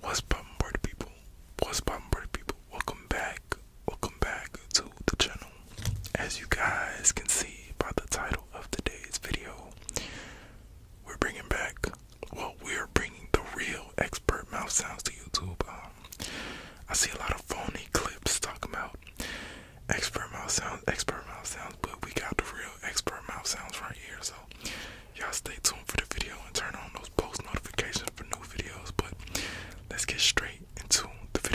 What's up, party people? What's up, party people? Welcome back, welcome back to the channel. As you guys can see by the title of today's video, we're bringing back, well, we're bringing the real expert mouth sounds to YouTube. Um, I see a lot of phony clips talking about expert mouth sounds, expert mouth sounds, but we got the real expert mouth sounds right here. So y'all stay tuned for the video and turn on those post notifications for new videos. But let's get straight into the video.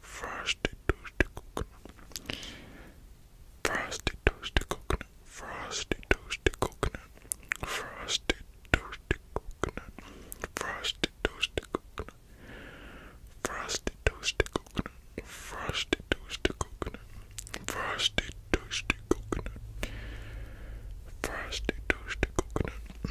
frosted toasted coconut, frosted toasted coconut, frosted toasted coconut, frosted toasted coconut, frosted toasted coconut, frosted toasted coconut, frosted toasted coconut, frosted toasted coconut, frosted toasted coconut.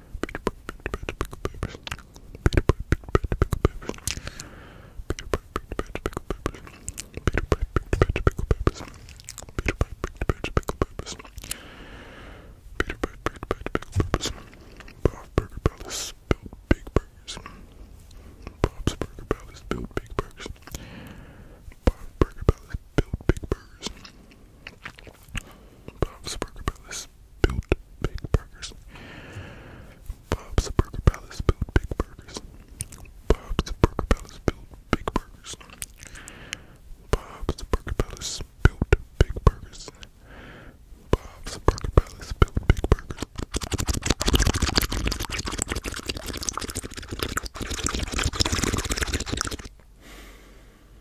Palace built big burgers. Bob's Burger Palace built big burgers. Bob's Burger Palace built big burgers. Bob's Burger Palace built big burgers. Bob's Burger Palace built big burgers. Bob's Burger Palace built big burgers. Bob's Burger Palace built big burgers. Bob's Burger Palace built big burgers.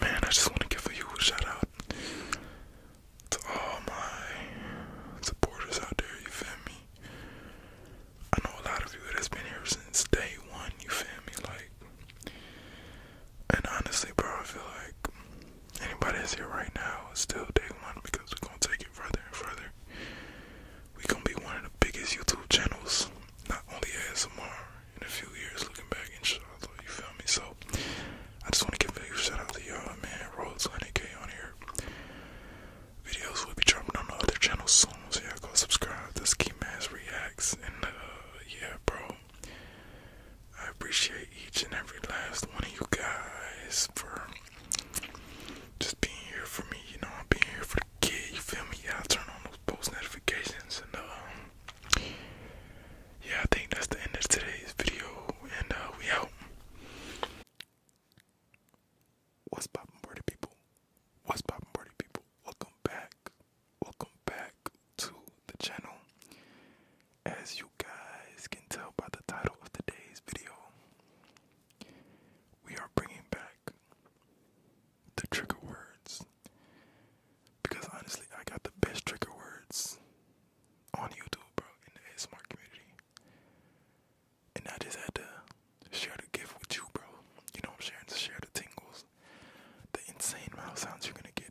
Man, I just want to give you a shout out to all my supporters out there, you feel me? I know a lot of you that's been here since day one, you feel me? Like, and honestly, bro, I feel like anybody is here right now is still day one because we're gonna take it further and further. We're gonna be one of the biggest YouTube channels, not only ASMR, in a few years looking back, inshallah, you feel me? So, I just wanna give a big shout out to y'all, man. Roll to 100k on here. Videos will be dropping on the other channels soon, so yeah, all go subscribe. This Key Mass Reacts, and uh, yeah, bro, I appreciate each and every last one of you guys for just being here for me. You know, I'm being here for the kid. You feel me? Yeah, turn on those post notifications and um, yeah, I think that's the end of today's video. And uh, we out. What's poppin' party people? What's poppin' party people? Welcome back. Welcome back to the channel. As you guys can tell by the title of today's video, we are bringing back the trigger words. Because honestly, I got the best trigger words on YouTube, bro, in the ASMR community. And I just had to share the gift with you, bro. You know, I'm sharing to share the tingles, the insane amount sounds you're gonna get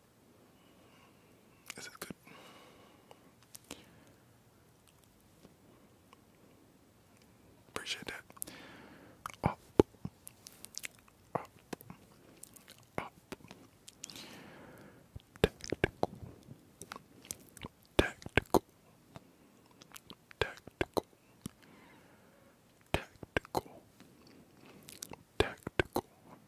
Is it good? Appreciate that. Tactical, tactical, tactical, tactical, tactical,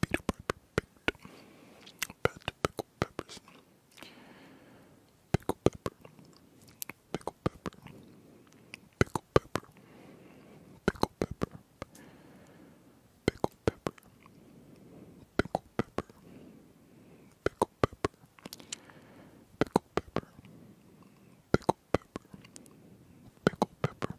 Peter Piper picked bad pickle peppers. Pickle pepper. Pickle pepper. Pickle pepper. Pickle pepper. Pickle pepper. Pickle pepper. Pickle pepper. Pickle pepper. Pickle pepper. Pickle pepper.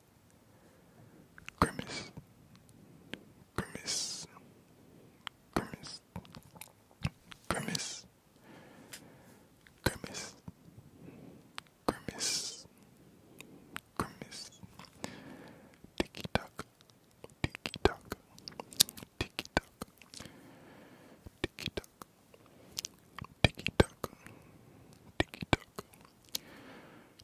Grimace, grimace, grimace, grimace, grimace, grimace, grimace, ticky tock, ticky tock, ticky tock, ticky tock, ticky tock, ticky tock.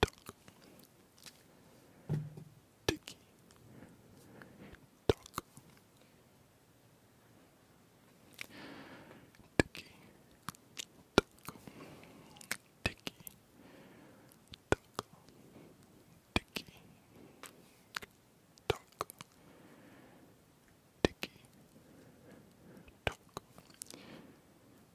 Duck. Dicky. Duck. Dicky. Duck. Dicky. Duck. Dicky. Duck. Dicky. Duck.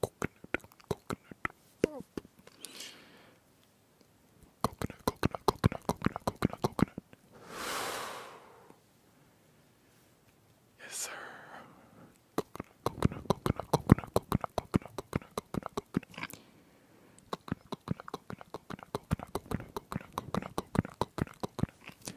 coconut, coconut pop. Coconut, coconut, coconut, coconut, coconut, coconut. Yes, sir. Coconut, coconut, coconut, coconut, coconut, coconut, coconut, coconut, coconut. Coconut, coconut, coconut, coconut, coconut, coconut, coconut, coconut, coconut, coconut, coconut.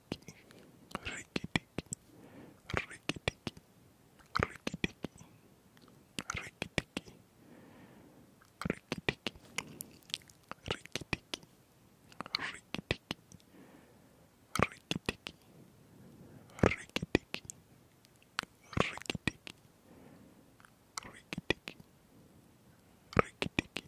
tiki, rikki tiki, rikki tiki, rikki tiki, rikki tiki, rikki tiki, rikki tiki, rikki tiki, rikki tiki, rikki tiki, rikki tiki, rikki tiki, rikki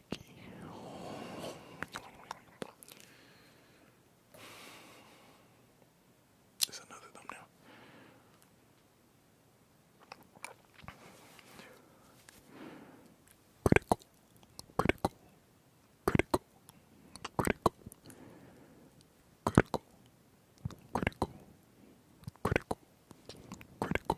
Tiki. There's another thumbnail. critical, critical, critical, critical, critical, critical, critical,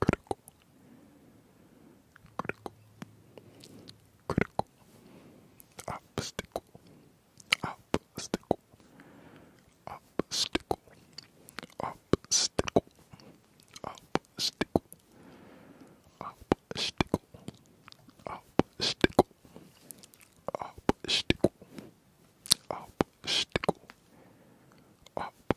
critical, critical, critical, obstacle, obstacle, obstacle, obstacle, obstacle, obstacle, obstacle, obstacle, obstacle,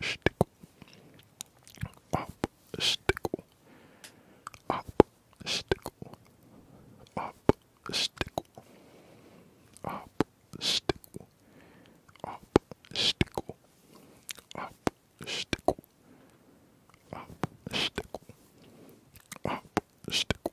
stickle, up, stickle, up, stickle, up, stickle, up, stickle, up, stickle, up, stickle, up, stickle, up, stickle.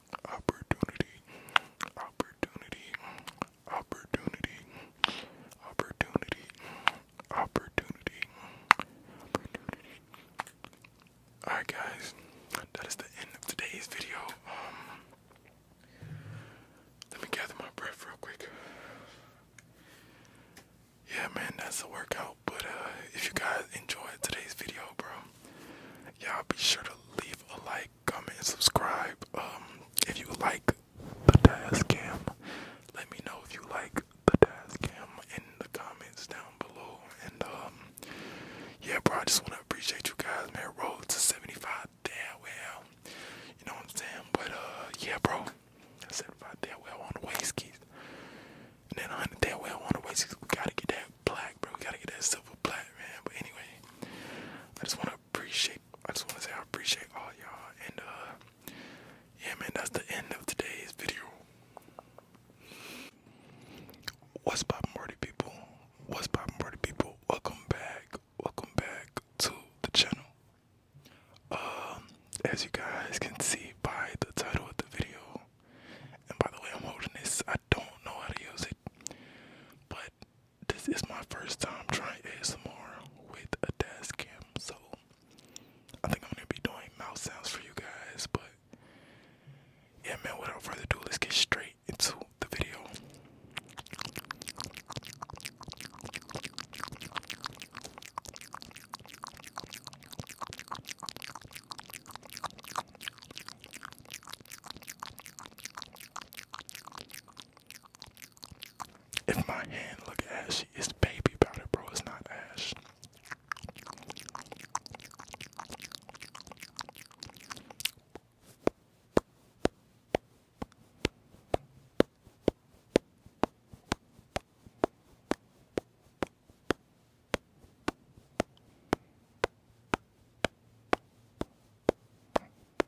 opportunity, opportunity, opportunity, opportunity, opportunity, Alright guys, that is the end of today's video. Um let me gather my breath real quick. Yeah man, that's a workout. But uh, if you guys enjoyed today's video, bro, y'all be sure to leave a like comment, subscribe. Um, if you like the task let me know if you like the task in the comments down below. And um, yeah, bro, I just want to appreciate you guys, man. Road to 75 damn well. You know what I'm saying? But uh, yeah, bro, 75 damn well on the waist keys. And then 100 damn well on the waist keys. We gotta get that black, bro. We gotta get that stuff black man. But anyway, I just wanna appreciate I just wanna say I appreciate all y'all and uh yeah man that's the end of today's video. What's poppin' party people? What's poppin' party people? Welcome back, welcome back to the channel. Um as you guys can see by the title of the video and by the way I'm holding this I don't know how to use it but this is my first time trying ASMR with a dash cam, so I think I'm gonna be doing mouse sounds for you guys. But yeah, man, without further ado, let's get straight into the video. If my hand look ashy, it's baby powder, bro. It's not ash.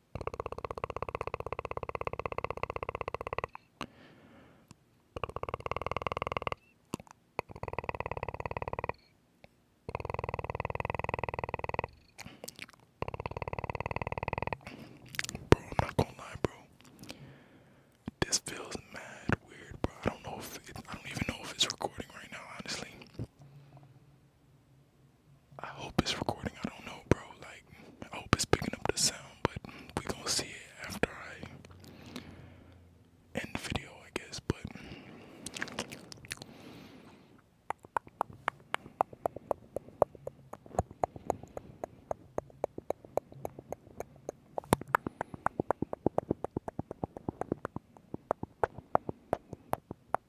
Bro, I'm not gonna lie, bro. This feels mad weird, bro. I don't know if I don't even know if it's recording right now, honestly. I hope it's recording. I don't know, bro. Like, I hope it's picking up the sound, but we gonna see it after I end the video, I guess. But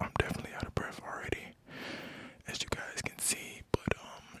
I'm definitely out of breath already, as you guys can see. But um,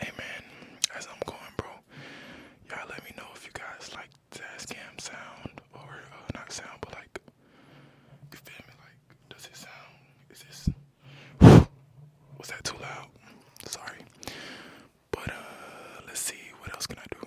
Hey as I'm going, bro, y'all let me know if you guys like Tascam sound or uh, not sound, but like, you feel me? Like, does it sound? Is this? was that too loud? Sorry, but uh, let's see what else can I do.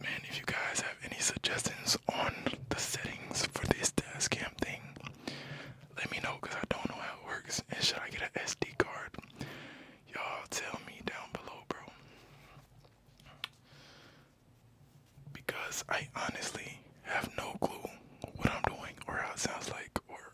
Man, if you guys have any suggestions on the settings for this desk thing, let me know because I don't know how it works. And should I get an SD card? Y'all tell me down below, bro. Because I honestly have no clue what I'm doing or how it sounds like or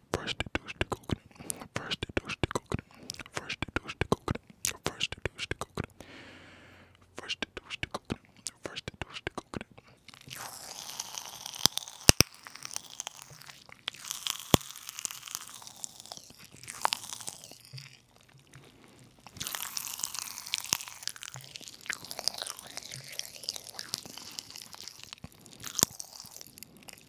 First it does the coconut. First it does the coconut. First it does the coconut. First it does the coconut. First it does the coconut. First it does the coconut.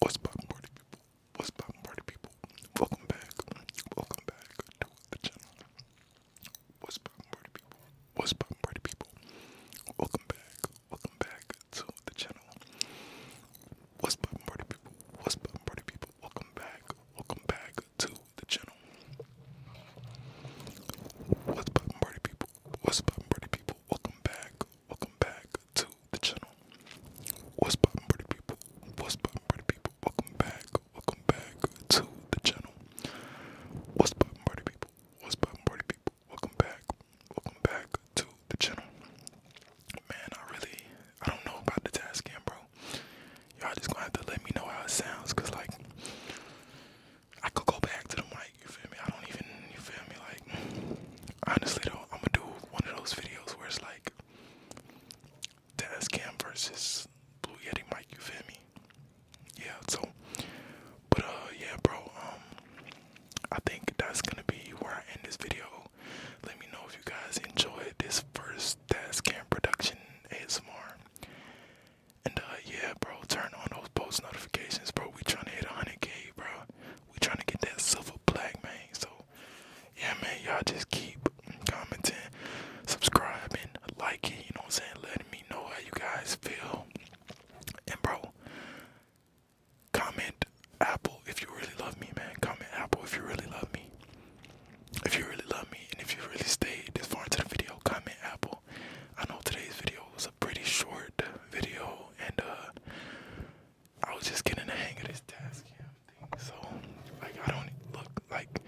What's poppin' party people? What's poppin' party people? Welcome back. Welcome back to the channel. What's poppin' party people? What's poppin' party people? Welcome back. Welcome back to the channel. What's poppin' party people? What's poppin' party people? Welcome back. Welcome back to the channel. What's poppin' party people? What's poppin' party people? Welcome back. Welcome back to the channel. What's poppin' party people? What's poppin' pretty people? Welcome back, welcome back to the channel. What's poppin' pretty people? What's poppin' pretty people? Welcome back, welcome back to the channel. Man, I really, I don't know about the task cam, bro. Y'all just gonna have to let me know how it sounds, cause like, I could go back to the mic. You feel me? I don't even, you feel me? Like, honestly though, I'm gonna do one of those videos where it's like. Taz Cam versus Blue Yeti Mike, you feel me? Yeah, so but uh yeah bro, um I think that's gonna be where I end this video. Let me know if you guys enjoyed this first Taz Cam production ASMR. And uh yeah bro, turn on those post notifications bro. We trying to hit a hundred K bro. We trying to get that silver plaque, man. So yeah, man, y'all just keep commenting, subscribing, liking, you know what I'm saying, letting me know how you guys feel. And, bro, comment Apple if you really love me, man. Comment Apple if you really love me. If you really love me, and if you really stay this far into the video, comment Apple. I know today's video was a pretty short video, and uh, I was just getting the hang of this task. Yeah. So like I don't look like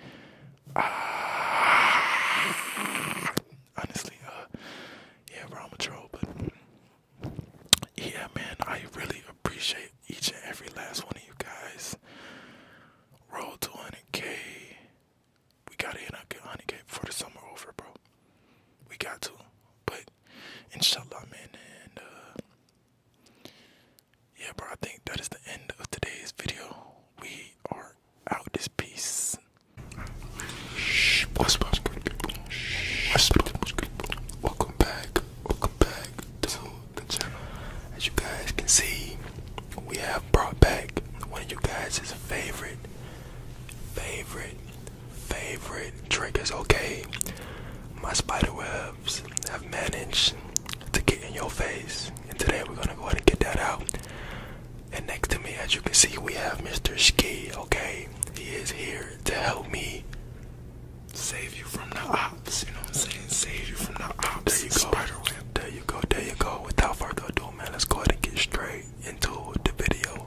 ah, honestly, uh yeah, bro, I'm a troll, but yeah, man, I really appreciate each and every last one of you guys. Roll to 100k. We gotta hit 100k before the summer over, bro. We got to, but inshallah, man. And uh, yeah, bro, I think that is the end of today's video. We are out this piece. Welcome back. Welcome back to the channel. As you guys can see, we have brought back one of you guys' favorite, favorite, favorite triggers, okay? My spider web labs have managed to get in your face, and today we're gonna go ahead and get that out. And next to me, as you can see, we have Mr. Ski. Okay, he is here to help me save you from the ops. You know what I'm saying? Save you from the ops. There you go. Spider There you go. There you go. Without further ado, man, let's go ahead and get straight into the video.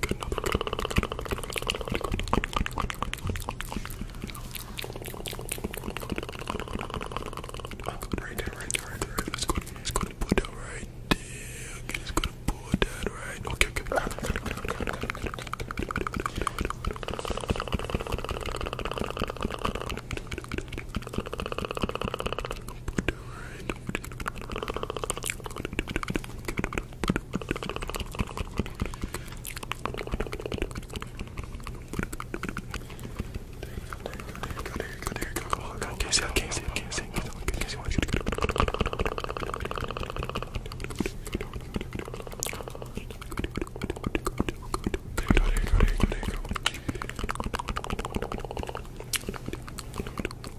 good enough. Right there, right there, right there. Let's go. Let's go to put that right there. Okay, let's go to put that right. Okay, okay. Put that right there you go, there you go, there you go. How many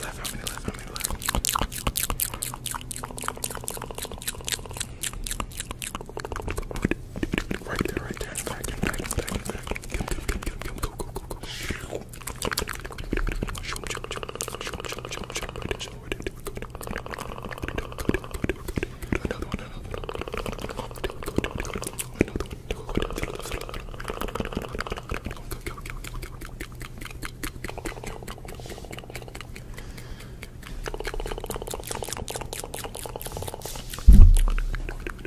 left? How many left? How many left? Right there, right there. Back, back, back, back. Come, come, come, come, come. Go, go, go, go. Another one, another one. Another one.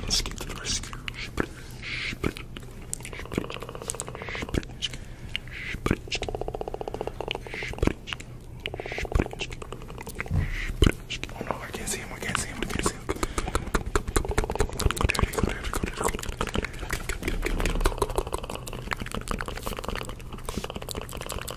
Let's get to the rescue. Oh no, I can't see him, I can't see him, I can't see him. There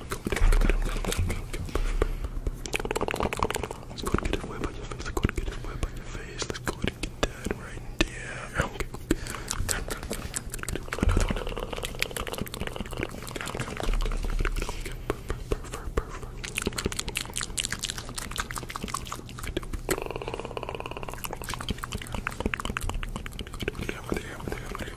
Go and get it Let's go and get it away by your face. Let's go and get it away by your face. Let's go and get that right there. Okay. There, there, there, there,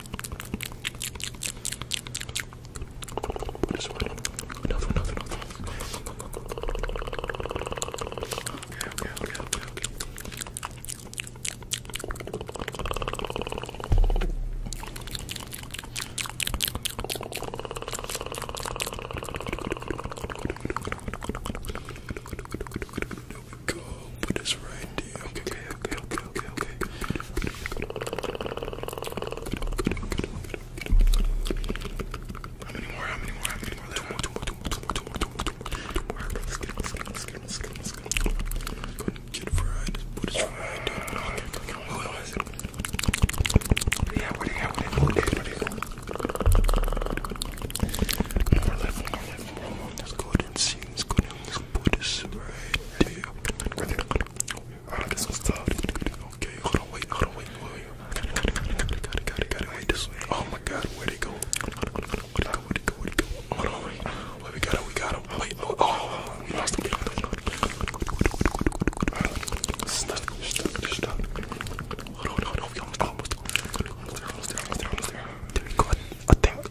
This one. Another, another, another. Okay, okay, okay, okay, okay. Put this right there. Okay, okay, okay, okay, okay, How many more? How many more? How many more? Two more, two more, two more, two more, two more, two more, two more, two more. Let's get, let's get, let's get, let's get, let's get. Go ahead and get it right. Put this right there. Okay, okay, okay. What was it? Yeah, where they at? Where they at? Where they at? Where they at? More left, more left, more left. Let's go ahead and see seems gonna put this right there. I got some stuff. Okay, hold on, wait, hold on, wait, wait. Got it, got it, got it, got it, got it, got it. Wait, this way. Oh my God, where'd it go? Where'd it go? Where'd it go? Where'd it go? Hold on, wait. Wait, we got him, we got him. Wait, oh, oh we lost him. Stuck, stuck, stuck. Hold on, hold on, we almost, almost, almost there, almost there, almost there, almost there. There we go. I think,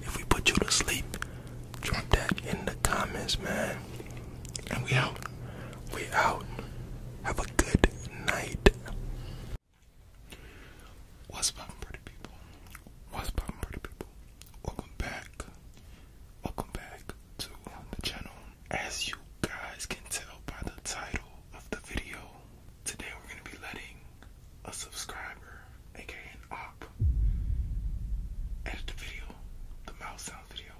if we put you to sleep, drop that in the comments, man. And we out. We out. Have a good night. What's poppin', pretty people? What's poppin', pretty people? Welcome back. Welcome back to um, the channel. As you guys can tell by the title of the video, today we're gonna be letting a subscriber, aka an op, edit the video, the mouse sound video.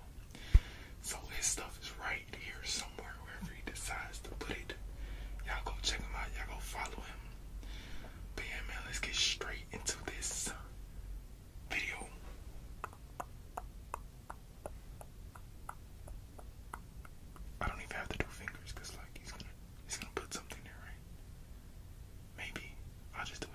So his stuff is right here somewhere, wherever he decides to put it. Y'all go check him out, y'all go follow him. But yeah, man, let's get straight into this video. I don't even have to do fingers because like he's gonna he's gonna put something there, right? Maybe I'll just do it.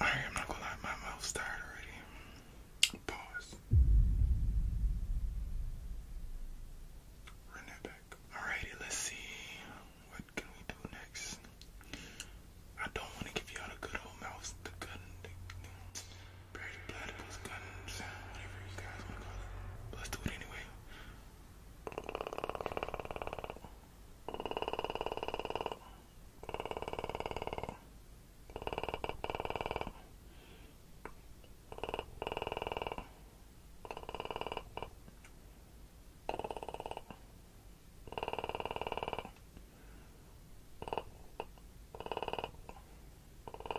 I'm not gonna lie, my mouth's tired already. Pause. Run that back. Alrighty, let's see. What can we do next? I don't want to give y'all the good old mouse, Barry the Platypus gun sound, whatever you guys want to call it. let's do it anyway. Let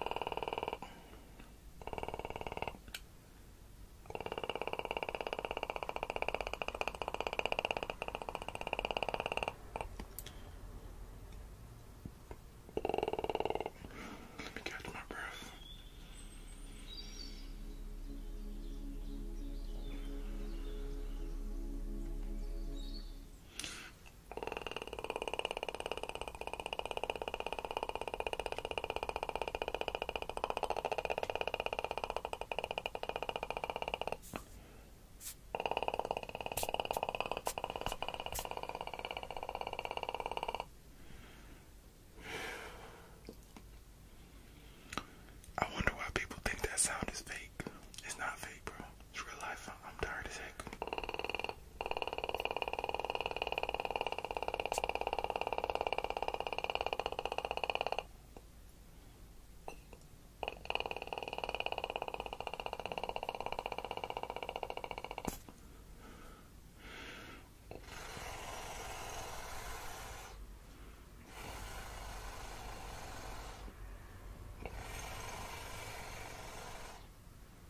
me catch my breath. I wonder why people think that sound is fake. It's not fake, bro. It's real life. I'm tired as heck.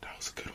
That was a good one.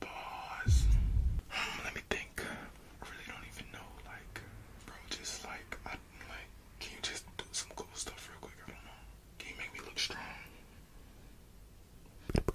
Pause. Let me think. I really don't even know. Like, bro, just like, I like. Can you just do some cool stuff real quick? I don't know. Can you make me look strong?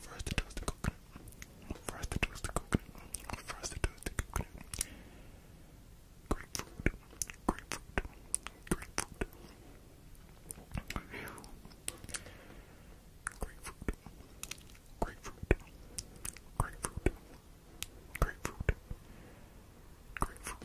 First it does the coconut. First it does the coconut. First it does the coconut. Grapefruit. Grapefruit. Grapefruit. Grapefruit. Grapefruit. Grapefruit. Grapefruit. Grapefruit. Grapefruit.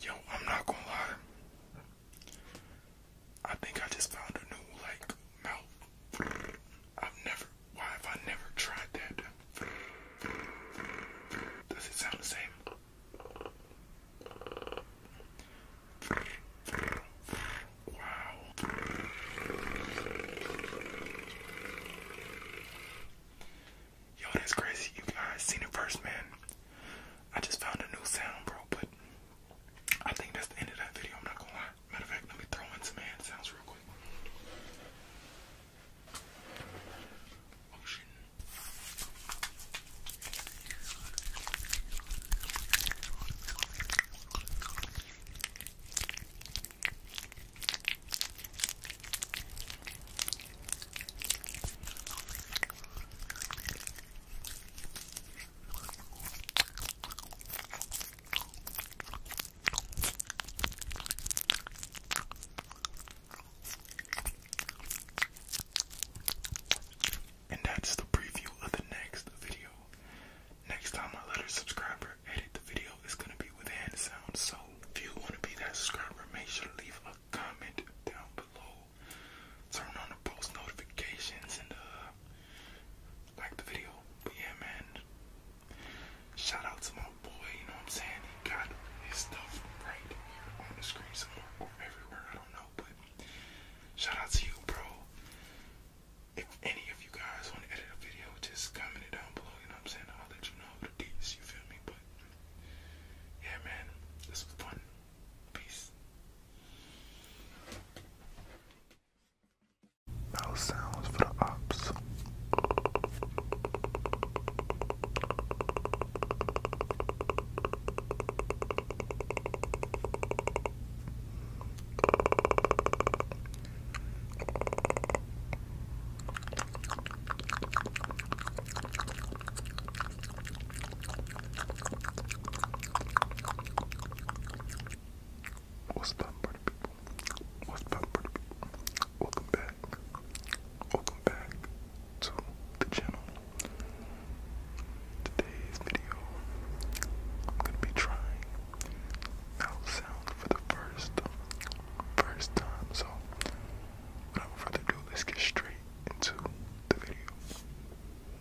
Yo, I'm not gonna lie. I think I just found a new like mouth. I've never. Why have I never tried that? Does it sound the same? Wow. Yo, that's crazy. You guys seen it first, man. I just found a new sound, bro, but I think that's the end of that video. I'm not gonna lie. Matter of fact, let me throw in some hand sounds real quick. Ocean. Oh, and that's the preview of the next video. Next time I let subscriber edit the video, it's gonna be with hand sounds. So if you wanna be that subscriber, make sure to leave a comment down below turn on the post notifications and uh, like the video. yeah, man, shout out to my boy, you know I'm saying? He got his stuff right on the screen somewhere or everywhere, I don't know, but shout out to you, bro. If any of you guys want to edit a video, just comment it down below, you know I'm saying? I'll let you know the deets, you feel me? But yeah, man, this was fun. Peace. sounds for the ops. What's up, party people? What's up, party people? Welcome back. Welcome back to the channel. Today's video, I'm gonna be trying out sound for the first, first time. So, without further ado, let's get straight into the video.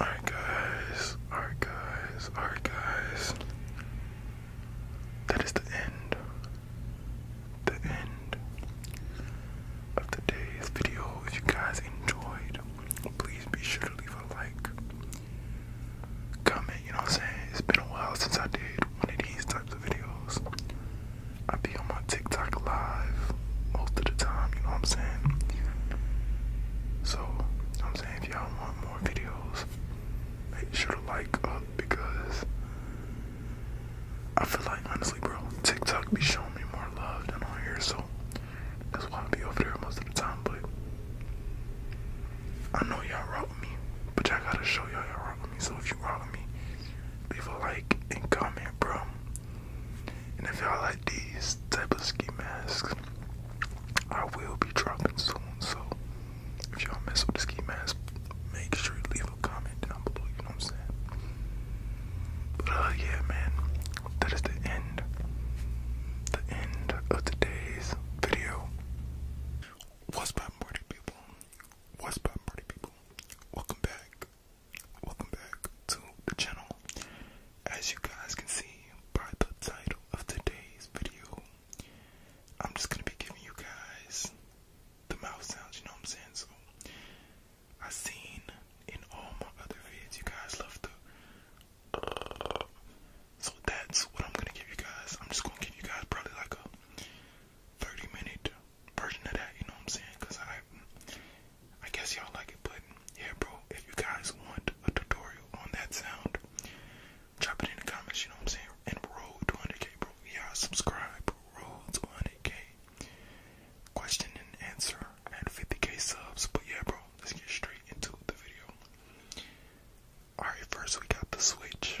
Alright, guys. Alright, guys. Alright, guys. That is the end. The end of today's video. If you guys enjoyed, please be sure to leave a like, comment. You know what I'm saying? It's been a while since I did one of these types of videos. I be on my TikTok live most of the time, you know what I'm saying? So, I'm saying? If y'all want more videos, make sure to like up because I feel like, honestly, bro, TikTok be showing me more love than on here, so that's why I be over there most of the time. But I know y'all rock me, but y'all gotta show y'all y'all rock me. So if you rock with me, leave a like and comment, bro. And if y'all like these type of ski masks, I will be dropping soon. So if y'all mess with the ski masks, make sure you leave a comment down below. You know what I'm saying? But uh, yeah, man, that is the end, the end of today's video. What's poppin', party people? What's poppin', party people? Welcome back Welcome back to the channel. As you guys can see by the title of today's video, I'm just gonna be giving you guys the mouth sounds, you know what I'm saying? So I have seen in all my other vids you guys love the uh, so that's what I'm gonna give you guys. I'm just gonna give you guys probably like a 30 minute version of that, you know what I'm saying? Cause I, I guess y'all like it, but yeah, bro. If you guys want a tutorial on that sound, drop it in the comments. You know what I'm saying? And roll to k bro. Yeah, subscribe. Roll to k Question and answer at 50k subs. But yeah, bro. Let's get straight into the video. All right, first we got the switch.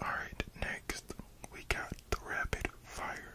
All right, next we got the rapid fire.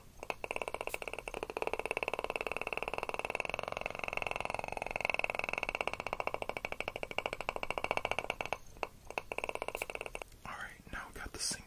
All right, now we got the singular.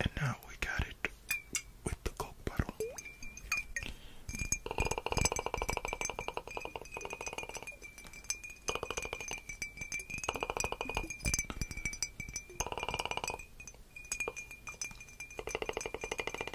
And now we got it with the Coke bottle.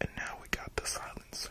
And now we got the silencer.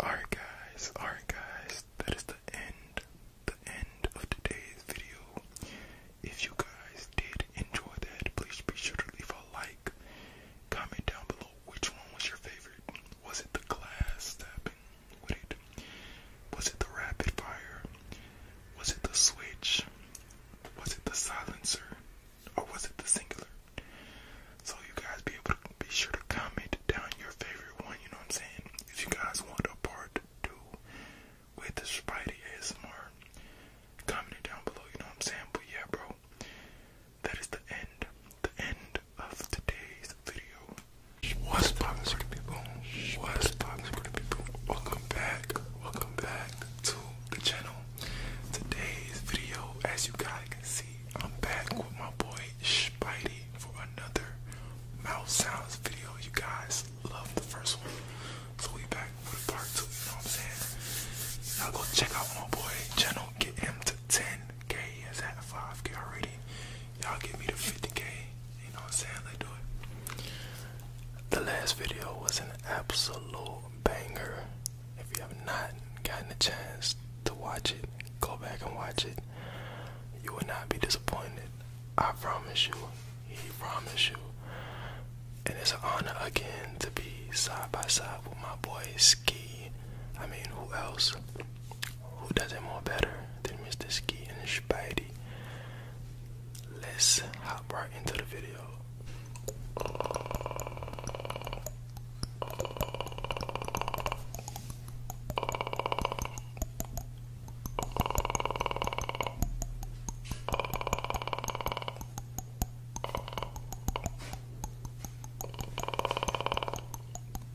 Alright guys, alright guys, that is the end, the end of today's video. If you guys did enjoy that, please be sure to leave a like. Comment down below which one was your favorite. Was it the glass tapping? was it the rapid fire? Was it the switch? Was it the silencer? Or was it the singular? So you guys be able to be sure to comment down your favorite one, you know what I'm saying? If you guys want a part two with the Spidey ASMR, comment it down below, you know what I'm saying? But yeah, bro that is the end, the end of today's video. What's poppin' squirty people? What's poppin' squirty people? Welcome back, welcome back to the channel. Today's video, as you guys can see, I'm back with my boy Spidey for another mouth sounds video. You guys love the first one, so we back with part two. You know what I'm saying? you go check out my boy channel. Get him to 10k. He's at 5k already y'all give me the 50k. You know I'm saying? Let's do it. The last video was an absolute banger. If you have not gotten a chance to watch it, go back and watch it. You will not be disappointed. I promise you. He promise you. And it's an honor again to be side by side with my boy Ski. I mean, who else? Who does it more better than Mr. Ski and Spidey? Let's hop right into the video.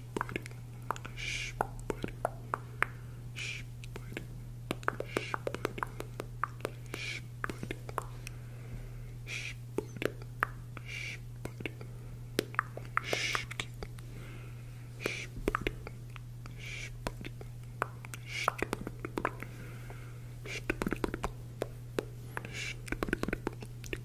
Shh, buddy. Shh, buddy. Shh, buddy. Shh, buddy. Shh, buddy. Shh, buddy. Shh, buddy. Shh, Shh, buddy. Shh, buddy. Shh, buddy. Shh, buddy. Shh, buddy.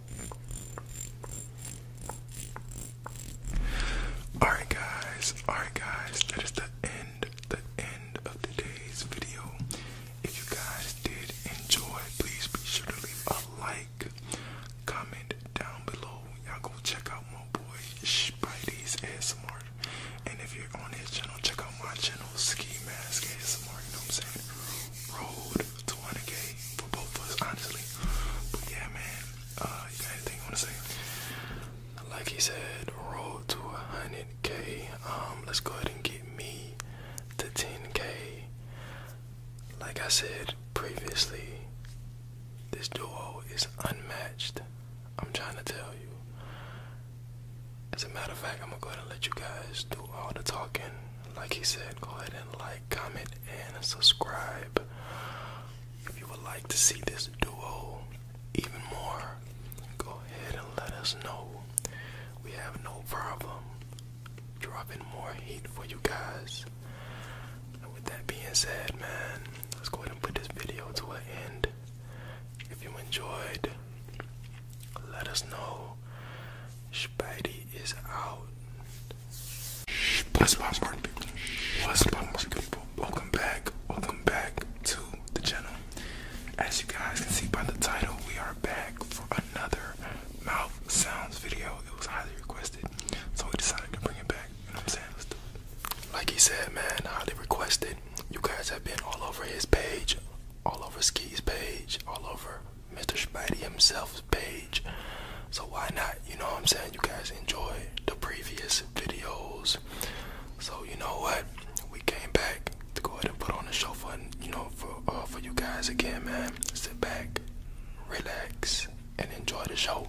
Alright guys, alright guys, that is the end, the end of today's video. If you guys did enjoy, please be sure to leave a like, comment down below. Y'all go check out my boy Spidey's ASMR. And if you're on his channel, check out my channel, Ski Mask ASMR, you know what I'm saying? Road 200k for both of us, honestly. But yeah, man, uh, you got anything you want to say? Like he said, roll to 100k. Um, let's go ahead and get me to 10k. Like I said previously, this duo is unmatched. I'm trying to tell you. As a matter of fact, I'm gonna go ahead and let you guys do all the talking like he said, go ahead and like, comment, and subscribe. If you would like to see this duo even more, go ahead and let us know. We have no problem dropping more heat for you guys. And with that being said, man, let's go ahead and put this video to an end. If you enjoyed, let us know. Spidey is out. What's poppin', people? What's Welcome back. Welcome back to the channel. As you guys can see by the title, we are back for another mouth sounds video. It was highly requested, so we decided to bring it back. You know what I'm saying? Like he said, man, highly requested. You guys have been all over his page, all over Ski's page, all over Mr. Spidey himself's page. So why not? You know what I'm saying? You guys enjoy the previous videos. So you know what? We came back to go ahead and put on the show for you know for uh, for you guys again, man. Sit back, relax, and enjoy the show.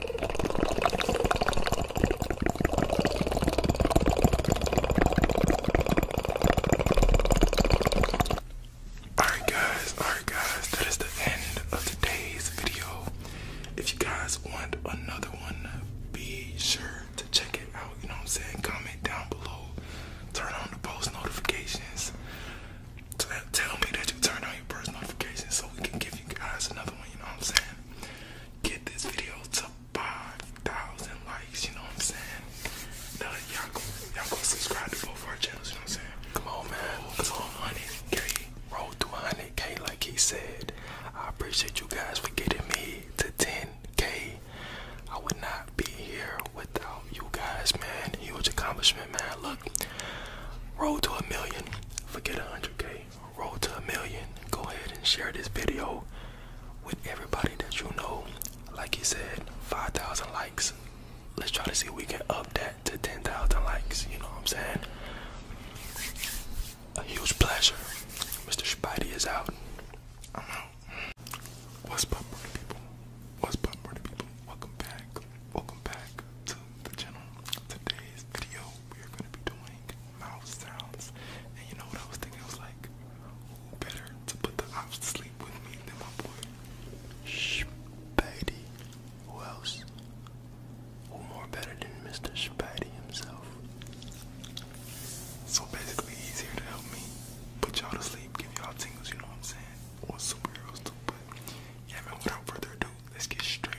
Alright guys, alright guys, that is the end of today's video. If you guys want another one, be sure to check it out. You know what I'm saying? Comment down below. Turn on the post notifications. Tell me that you turn on your post notifications so we can get you guys another one, you know what I'm saying? Get this video to 5,000 likes, you know what I'm saying? Y'all go, go subscribe to both our channels, you know what I'm saying? Come on, man. Let's roll Roll to 100K, like he said. I appreciate you guys for getting me to 10K. I would not be here without you guys, man. Huge accomplishment, man. Look, roll to a million, forget 100K road to a million, go ahead and share this video with everybody that you know. Like he said, 5,000 likes. Let's try to see if we can up that to 10,000 likes. You know what I'm saying? A huge pleasure. Mr. Spidey is out. I'm out. What's up, people? What's up, people? Welcome back. Welcome back Today's video, we are going to be doing mouth sounds. And you know what I was thinking? I was like, who better to put the ops to sleep with me than my boy? Spidey. Who else? Who more better than Mr. Spidey himself? So basically, he's here to help me put y'all to sleep, give y'all tingles, you know what I'm saying? Or superheroes too, but yeah, man, without further ado, let's get straight.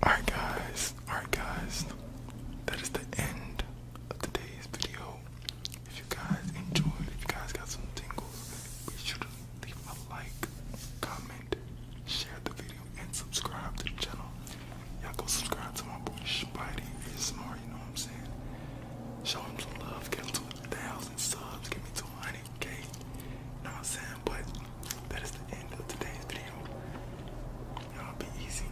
Alright guys, alright guys, that is the end of today's video. If you guys enjoyed, if you guys got some tingles, be sure to leave a like, comment, share the video, and subscribe to the channel. Y'all go subscribe to my boy Spidey ASMR, you know what I'm saying? Show him some love, get him to a thousand subs, get me to 100k. You know what I'm saying? But that is the end of today's video. Y'all be easy.